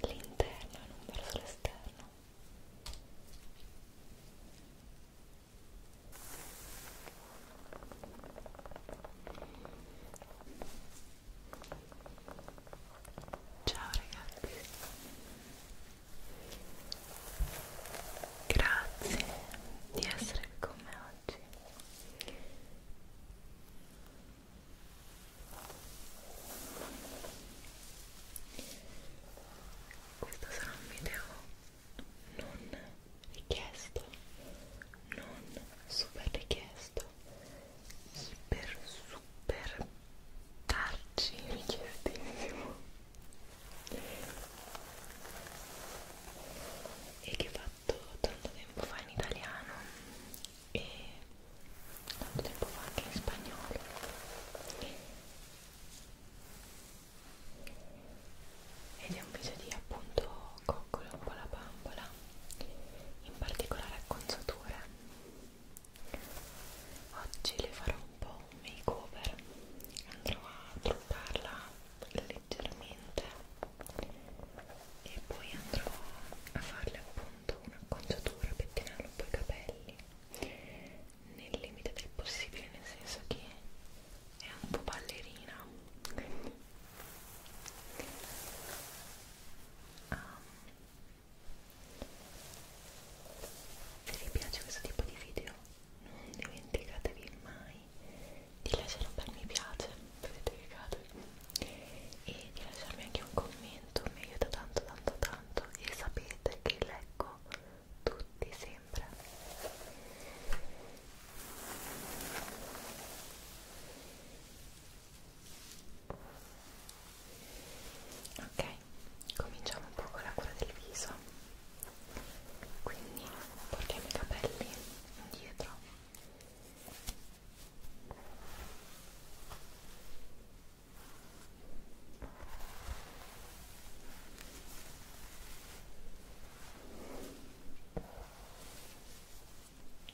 L'interno e non verso l'esterno. Ciao ragazzi. Grazie di essere con me oggi. Questo sarà un video non richiesto, non super richiesto, iper super tarci richiestissimo e che ho fatto tanto tempo fa in italiano e tanto tempo fa anche in spagnolo ed è un video di appunto coccolo un po' la bambola in particolare acconciature oggi le farò un po' un make over andrò a truccarla leggermente e poi andrò a farle appunto un'acconciatura pettinare un po' i capelli nel limite del possibile nel senso che è un po' ballerina um, se vi piace questo tipo di video non dimenticatevi mai di lasciare un bel mi piace, vedete che cade, e di lasciarmi anche un commento, mi aiuta tanto tanto tanto e sapete che leggo tutti sempre ok cominciamo un po' con la cura del viso quindi portiamo i capelli indietro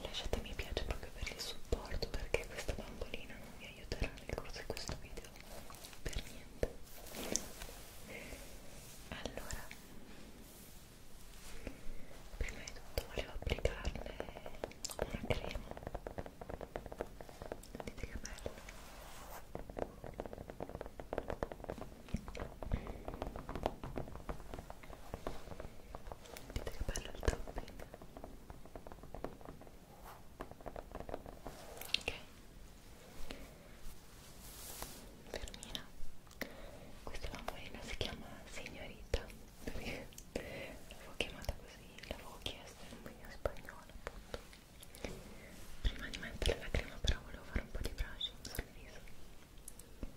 Lasciatemi piace proprio per il supporto perché questa bambolina non mi aiuterà nel corso di questo video per niente allora prima di tutto volevo applicarle una crema vedete che bello vedete che bello il topping ok Fermina questa lampadina si chiama signorita l'avevo chiamata così l'avevo chiesto in un video spagnolo appunto prima di mettere la crema però volevo fare un po' di brushing sul viso ok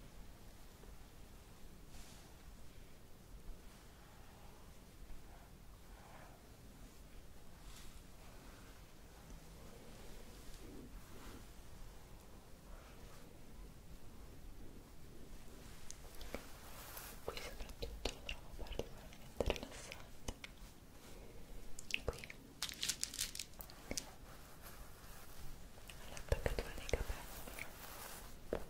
Qui soprattutto lo trovo particolarmente rilassante. Qui all'attaccatura dei capelli. Qui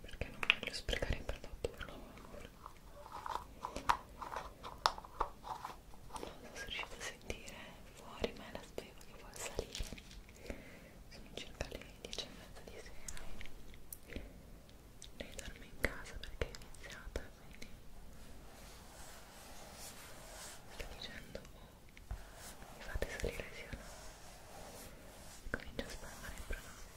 perché non voglio sprecare il prodotto per l'uomo non so se riuscite a sentire fuori ma è la speva che vuole salire sono circa le 10 e mezza di sera lei dorme in casa perché è iniziata quindi sta dicendo oh, mi fate salire sì o no comincio a spalmare il prodotto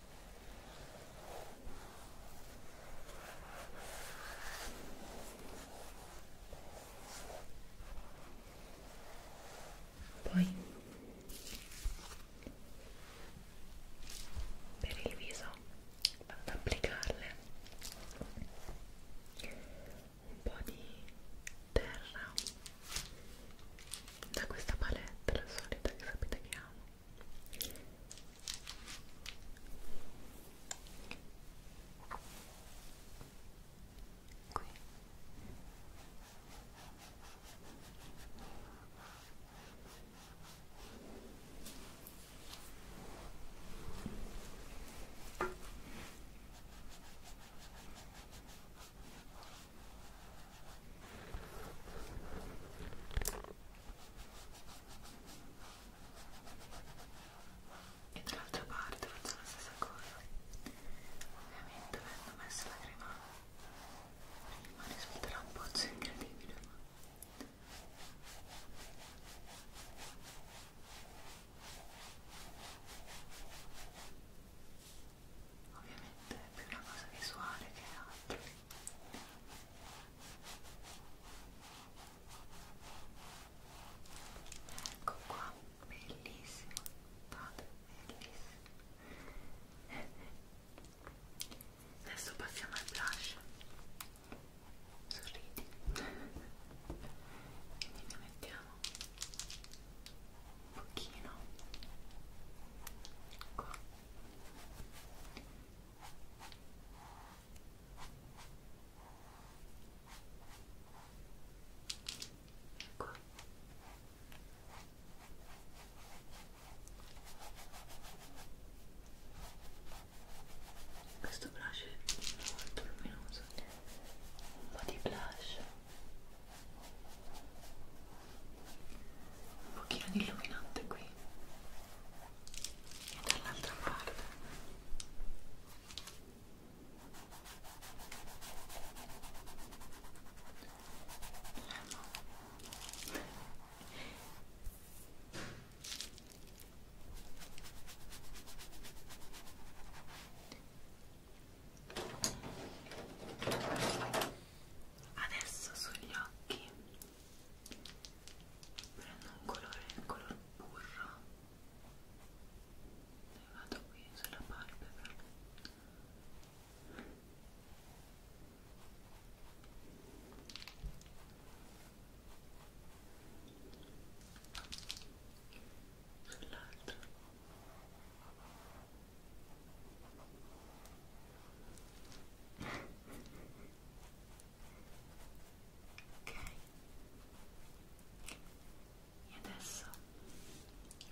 Poi per il viso vado ad applicarle un po' di terra da questa palette la solita che sapete che amo qui e dall'altra parte faccio la stessa cosa ovviamente avendo messo la crema prima risulterà un pozzo incredibile ma... Ecco ovviamente è più una cosa visuale che altro ecco qua bellissimo guardate bellissimo adesso passiamo al blush sorridi quindi ne mettiamo un pochino qua qua questo blush è molto luminoso un po' di blush un pochino di illuminante qui e dall'altra parte Lemon adesso sugli occhi prendo un colore, il color burro e vado qui sulla palpebra sull'altro Ok, e adesso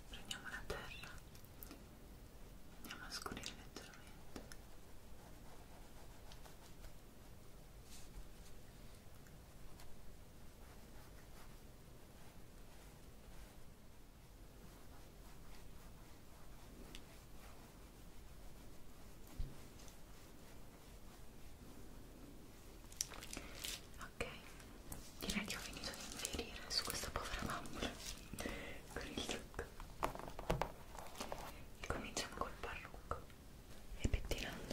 prendiamo la terra, andiamo a scurire leggermente. Ok, Ok, direi che ho finito di infierire su questa povera bambola con il trucco e cominciamo col parrucco e pettinandolo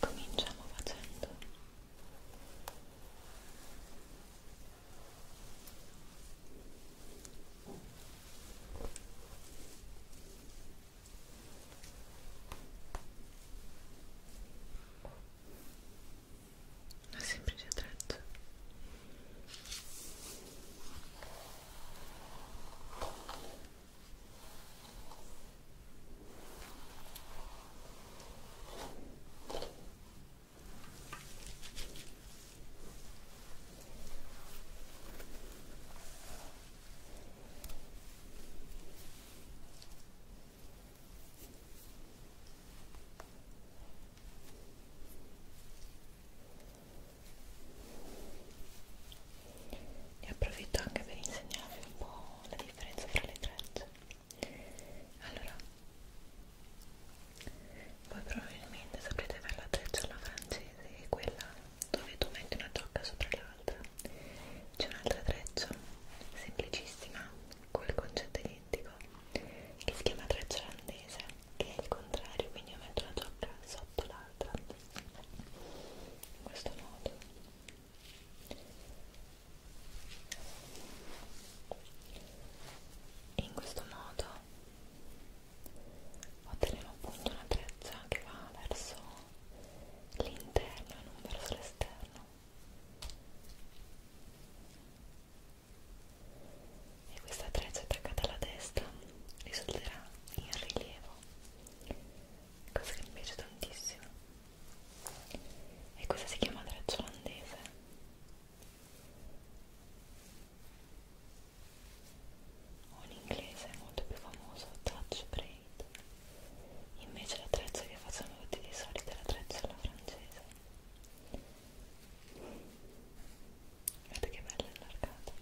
Cominciamo facendo un Eu é sempre te trato. e approfitto anche per insegnarvi un po' la differenza tra le trecce allora voi probabilmente saprete fare la treccia alla francese e quella dove tu metti una tocca sopra l'altra c'è un'altra treccia semplicissima col concetto identico che si chiama treccia olandese che è il contrario quindi io metto una tocca sotto l'altra in questo modo e in questo modo otterremo appunto una treccia che va verso l'interno e non verso l'esterno e questa treccia attaccata alla destra risulterà in rilievo cosa che mi piace tantissimo e questa si chiama treccia olandese un inglese molto più famoso, Touch Braid invece l'attrezzo che facciamo tutti di solito è l'attrezzo alla francese guardate che bella allargata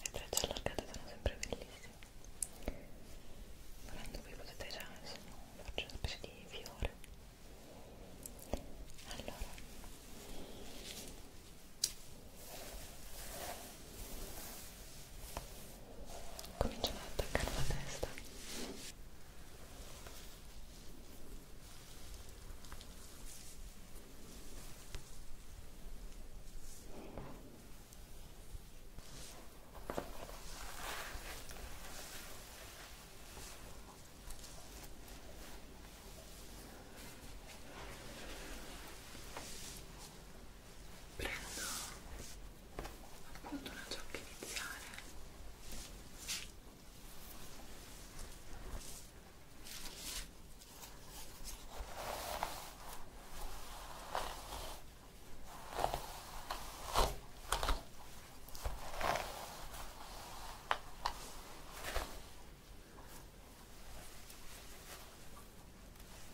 le trecce allargate sono sempre bellissime volendo qui potete già insomma farci una specie di fiore allora cominciamo ad attaccare la testa Ora prendo appunto una ciocca iniziale e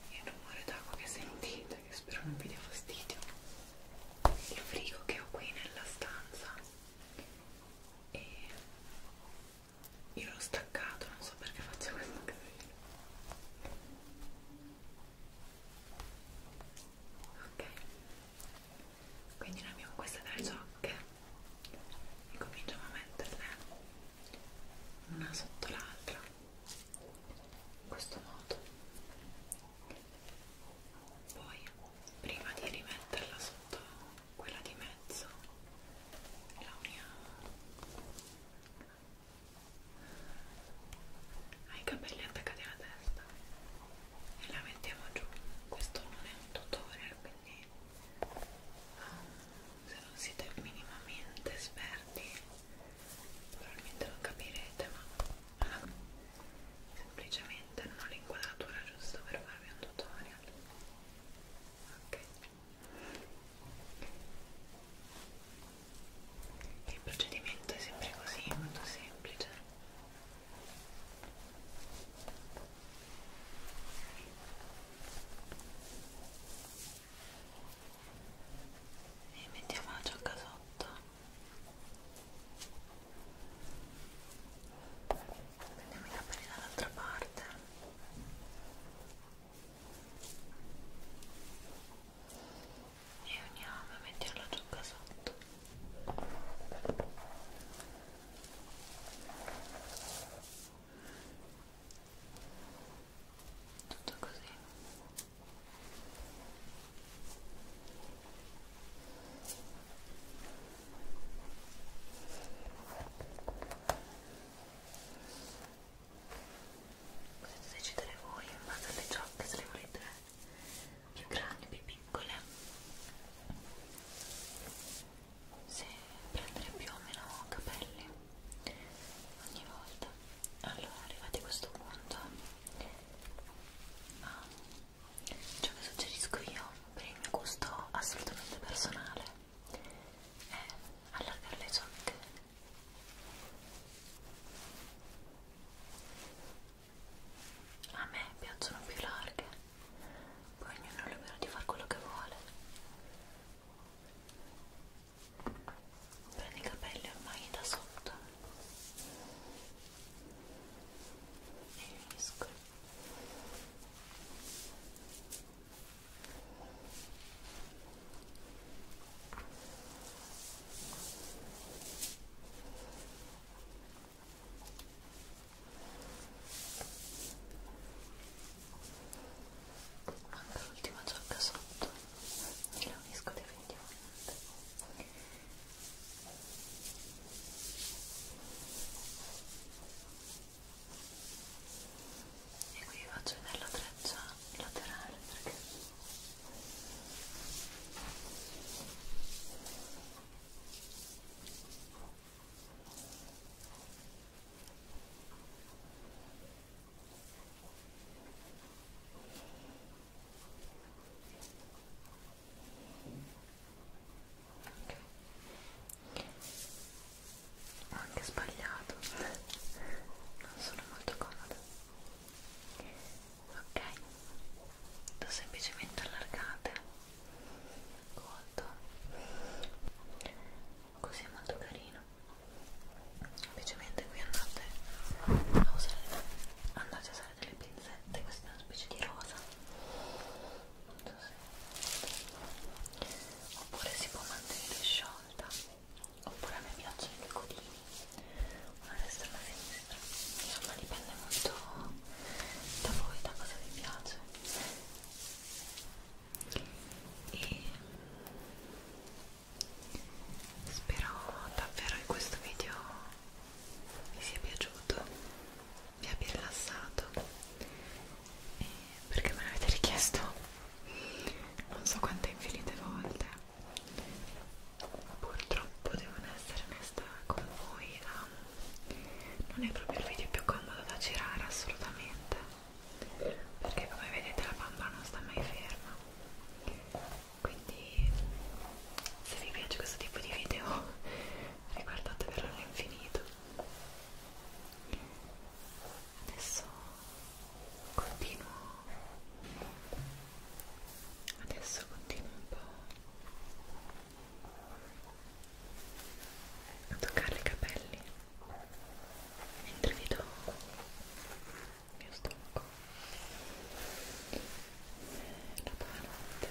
e il rumore d'acqua che sentite che spero non vi dia fastidio il frigo che ho qui nella stanza e io l'ho staccato non so perché faccio questo casino ok quindi noi abbiamo queste tre ciocche e cominciamo a metterle una sotto l'altra in questo modo poi prima di rimetterla sotto quella di mezzo la uniamo ai capelli attaccati alla testa e la mettiamo giù questo non è un tutorial giorni um, ah, se non siete minimamente esperti probabilmente lo capirete ma uh, semplicemente non ho l'inquadratura giusta per farvi un tutorial ok il procedimento è sempre così molto semplice e mettiamo la ciocca sotto prendiamo i capelli dall'altra parte e uniamo e mettiamo la ciocca sotto tutto così potete decidere voi in base alle ciocche se le volete più grandi, più piccole se prendere più o meno capelli ogni volta allora arrivati a questo punto ah, ciò che suggerisco io per il mio gusto assolutamente personale è allargare le ciocche a me piacciono più larghe poi ognuno è libero di fare quello che vuole prendi i capelli ormai da sotto e unisco Manca l'ultima giacca sotto e la unisco definitivamente. E qui faccio vedere la treccia laterale perché ho anche sbagliato, non sono molto comoda. Ok, do semplicemente allargate raccolto così è molto carino semplicemente qui andate a usare andate a usare delle pinzette questa è una specie di rosa non so se... oppure si può mantenere sciolta oppure a me piacciono i codini una destra e una sinistra insomma dipende molto da voi da cosa vi piace e spero davvero che questo video vi sia piaciuto vi abbia rilassato e perché me l'avete richiesto non so quante infinite volte purtroppo devo essere onesta con voi la um, non è proprio il video più comodo da girare assolutamente perché come vedete la bamba non sta mai ferma quindi se vi piace questo tipo di video riguardatevelo all'infinito adesso continuo adesso continuo un po' a toccare i capelli mentre vi do il mio stomaco eh, la buonanotte Buonanotte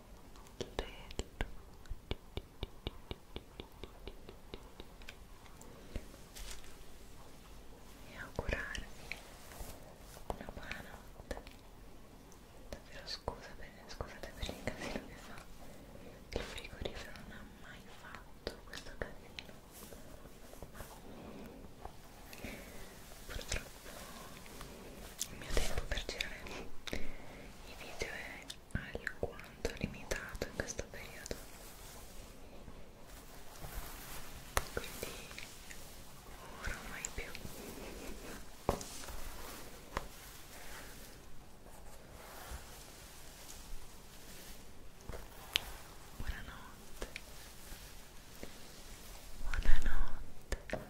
e augurarvi una buona notte davvero scusa per, scusate per il casino che fa il frigorifero non ha mai fatto questo casino purtroppo il mio tempo per girare i video è alquanto limitato in questo periodo quindi ora mai più buonanotte buonanotte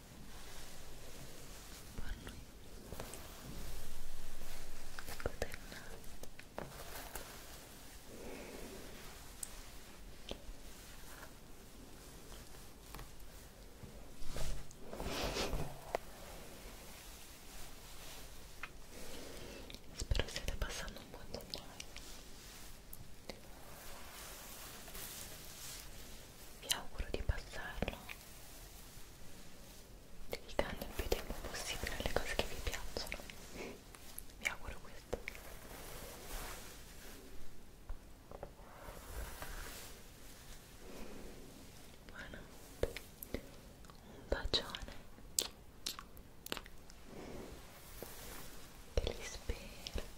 parlo io Coterna. Spero stiate passando un buon gennaio. Vi auguro di passarlo dedicando il più tempo possibile alle cose che vi piacciono vi auguro questo buonanotte un bacione che li spero